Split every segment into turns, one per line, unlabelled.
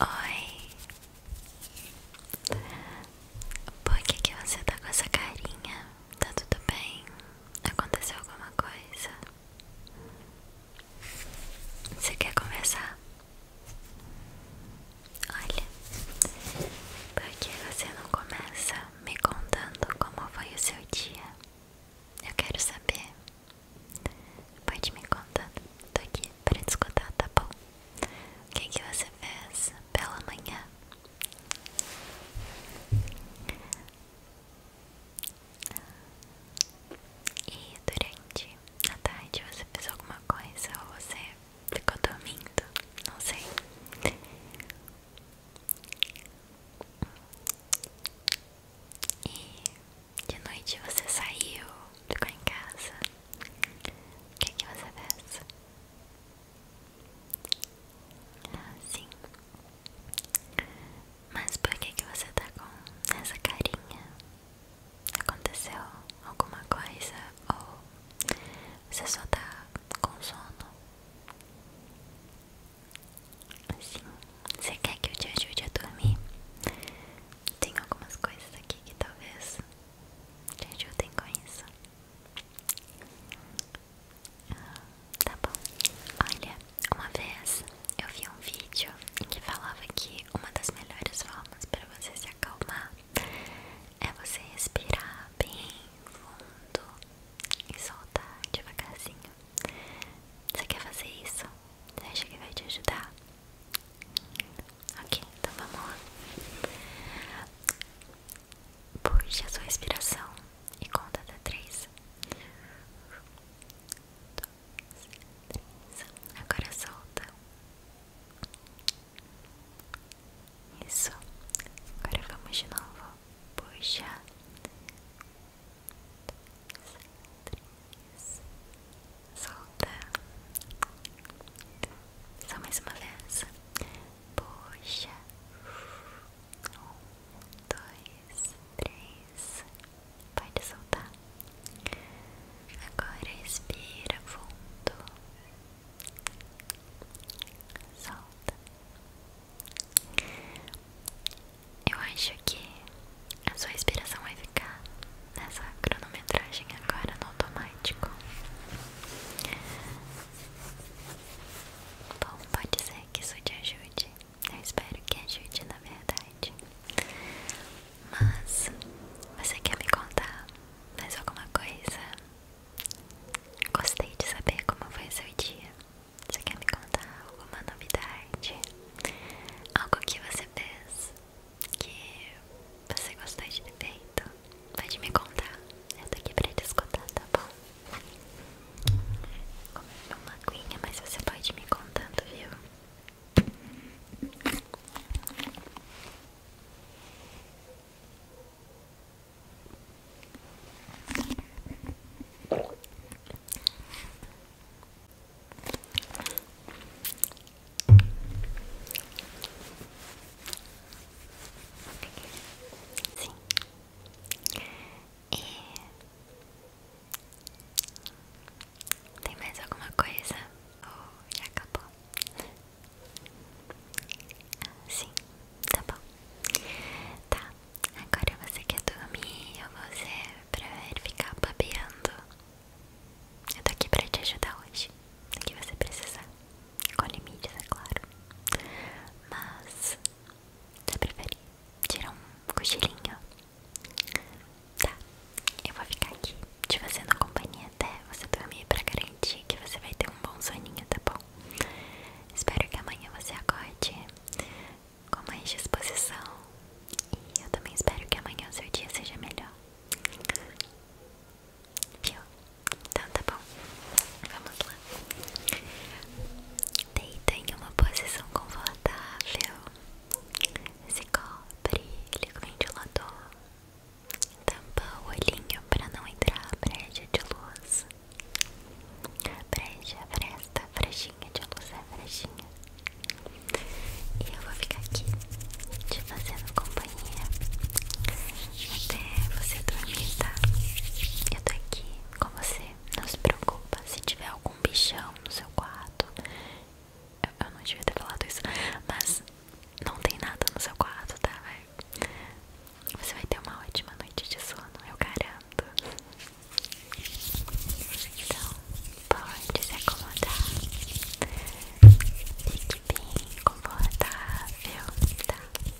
Oi, por que, que você tá com essa carinha? Tá tudo bem? Aconteceu alguma coisa? Você quer conversar? Olha, por que você não começa me contando como foi o seu dia? Eu quero saber Pode me contar, tô aqui pra te escutar, tá bom? O que, que você fez pela manhã? E durante a tarde você fez alguma coisa ou você ficou dormindo? Não sei. E de noite você saiu, ficou em casa. O que, é que você fez? Ah, sim. Mas por que, que você tá com essa carinha? Aconteceu alguma coisa ou você só tá com sono? Sim, você quer que eu te ajude a dormir? Tem algumas coisas aqui que talvez te ajudem com isso. Ah, tá bom. Olha, uma vez eu vi um vídeo em que falava que uma das melhores formas para você se acalmar é você respirar bem fundo e soltar devagarzinho. Você quer fazer isso? Você acha que vai te ajudar? Ok, então vamos lá. Puxe a sua respiração e conta até três. Dois, três. Agora solta. Isso. Agora vamos de novo. Puxa. três solta, só mais uma vez, puxa, um, dois, três, pode soltar, agora expira fundo, solta. Eu acho que a sua respiração vai ficar nessa cronometragem agora no automático. Bom, pode ser que isso te ajude. Eu espero que ajude, na verdade. Mas você quer me contar mais alguma coisa? Gostei de saber como foi seu dia. Você quer me contar alguma novidade? Algo que você fez que você gostou de ter então pode me contar. Eu tô aqui pra te escutar, tá bom? Comi é uma aguinha, mas você pode me contando, viu? Sim. E tem mais alguma coisa? Ou já acabou? Sim, tá bom. Tá, agora você quer dormir ou você prefere ficar babeando? Eu tô aqui pra te ajudar hoje, o que você precisar, com limites, é claro. Mas, você preferir, tirar um cochilinho? Tá, eu vou ficar aqui te fazendo companhia até você dormir pra garantir que você vai ter um bom soninho, tá bom? Espero que amanhã você acorde com mais disposição e eu também espero que amanhã o seu dia seja melhor. Viu? Então tá bom. Vamos lá. Deita em uma posição confortável. Se cobre, liga o ventilador. Tampa o olhinho para não entrar a brecha de luz. breja fresta, frechinha de luz é frechinha. E eu vou ficar aqui te fazendo companhia até você dormir, tá? Eu tô aqui com você, não se preocupa. Se tiver algum bichão no seu quarto, eu, não devia ter falado isso, mas não tem nada no seu quarto, tá? Vai. Você vai ter uma ótima noite de sono, eu garanto. Então, Pode se acomodar. Fique bem confortável, tá? Eu tô aqui, tô aqui,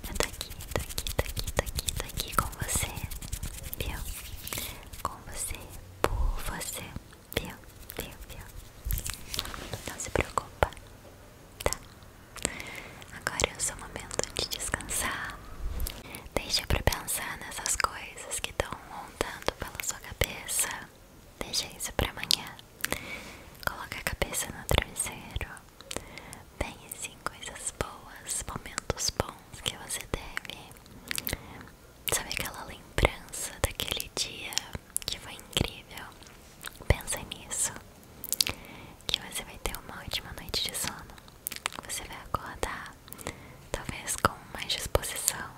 tô aqui, tô aqui, aqui com você, viu? Com você, por você, viu? Viu, viu? Não se preocupa, tá? Agora é o seu momento de descansar. Deixa pra pensar nessas coisas que estão vão montando pela sua cabeça. Deixa isso para amanhã. Coloca a cabeça no travesseiro. Pense em assim coisas boas, momentos bons que você teve. Sabe aquela lembrança daquele dia que foi incrível? Pensa nisso. Que você vai ter uma ótima noite de sono. Você vai acordar talvez com mais disposição.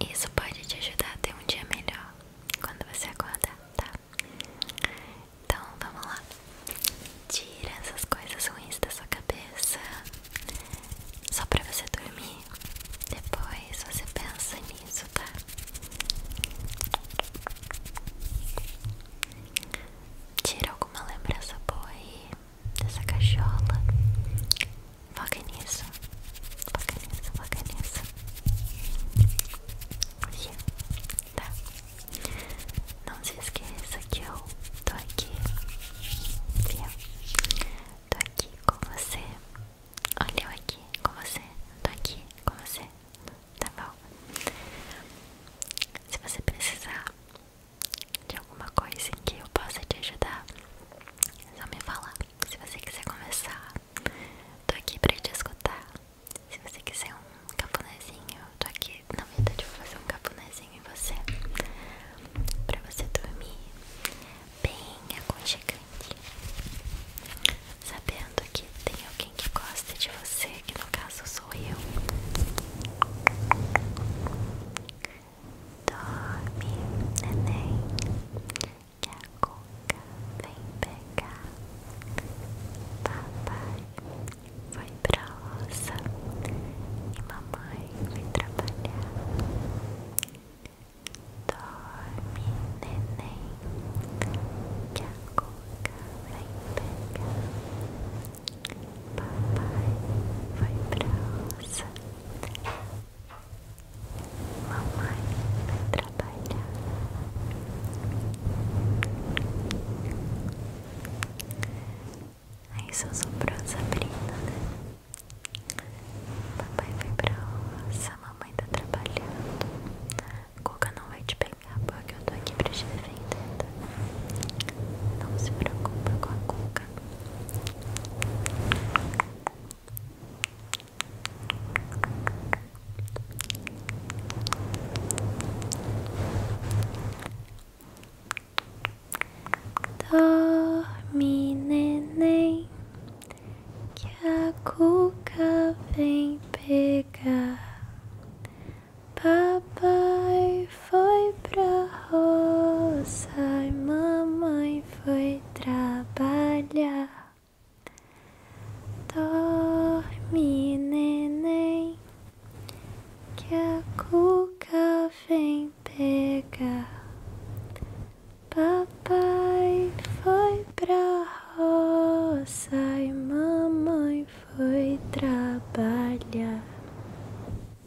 Isso pode te ajudar a ter um dia melhor quando você acordar, tá? Então vamos lá. Tira essas coisas ruins da sua cabeça. Só pra você dormir. Depois você pensa nisso, tá? Tira alguma lembrança boa aí dessa cachola. Foca nisso. Foca nisso, foca nisso. Yeah. Tá. Não se esqueça que eu tô aqui. Yeah. Tô aqui com você. Olha eu aqui com você. Tô aqui com você. Tá bom? Se você precisar de alguma coisa em que eu possa te ajudar, só me falar. Se você quiser começar, tô aqui pra te escutar. Se você quiser um cafunézinho, eu tô aqui na verdade vou fazer um cafunézinho em você pra você dormir bem aconchegante. Sabendo que tem alguém que gosta de você, que no caso sou eu. Dorme, neném, que vem pegar. Papai foi pra roça e mamãe foi trabalhar. Dorme, neném, que vem pegar. Papai vai pra roça. Mamãe vai trabalhar. Aí só sobrou Sabrina, né? Papai vai pra roça, mamãe tá trabalhando. Coca não vai te pegar porque eu tô aqui pra te defender, tá? Não se preocupa com a Coca boca. Dorme, neném, que a cuca vem pegar. Papai foi pra roça e mamãe foi trabalhar. Dorme, neném, que a cuca vem pegar. Papai foi pra roça e mamãe foi trabalhar.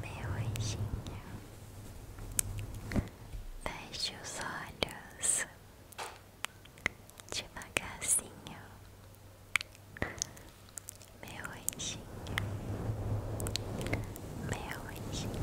Meu anjinho, feche os olhos devagarzinho, meu anjinho, meu anjinho.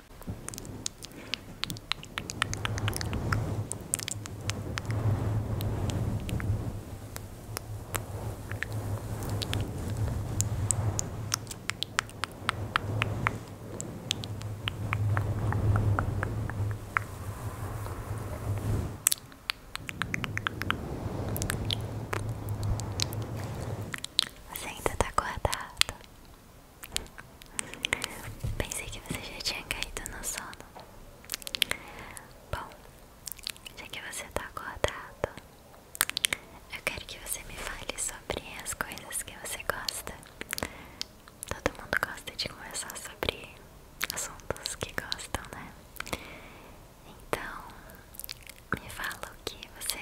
Você ainda está acordado? Pensei que você já tinha caído no sono. Bom, já que você tá acordado, eu quero que você me fale sobre as coisas que você gosta. Todo mundo gosta de conversar sobre assuntos que gostam, né? Então, me fala o que você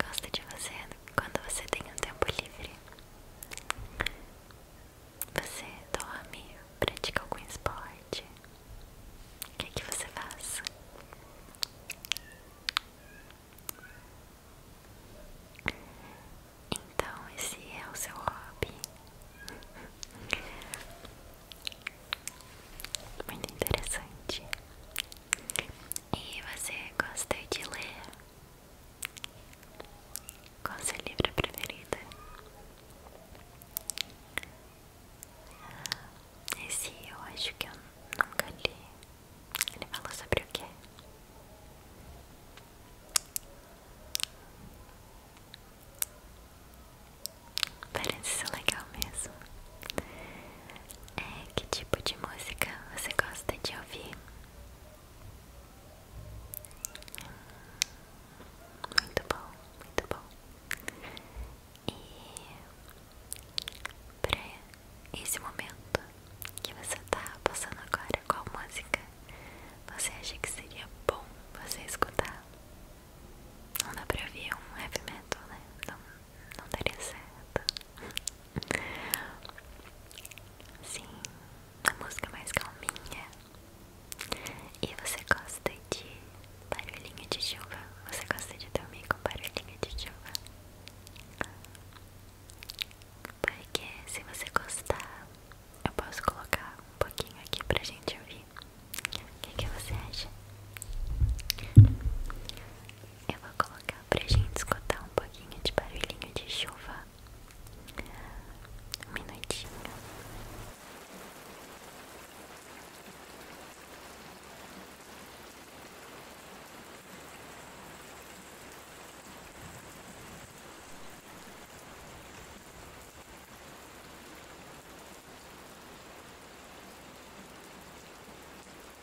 gosta de você quando você tem um tempo livre. Você dorme, pratica algum esporte. O que, é que você faz? Então, esse é o seu hobby. Muito interessante. E você gosta de ler? Qual a livro preferida? Ah, esse eu acho que eu nunca li. Ele falou sobre o quê? Parece ser legal mesmo. É, que tipo de música você gosta de ouvir? Muito bom, muito bom. E para esse momento que você está passando agora, qual música você acha que seria bom você escutar? Não dá pra ouvir um heavy metal, né? Não, não daria certo. Sim, a música mais calminha. E você gosta de barulhinha de chuva? Você gosta de dormir com barulhinha de chuva? Porque se você gostar, eu posso colocar um pouquinho aqui pra gente ouvir. O que você acha? Eu vou colocar pra gente escutar um pouquinho de barulhinho de chuva. Um minutinho.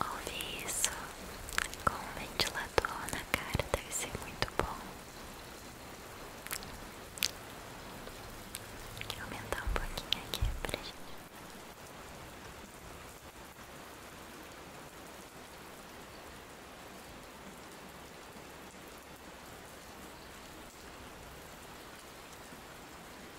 Ouvir isso com ventilador na cara deve ser muito bom. Vou aumentar um pouquinho aqui para gente.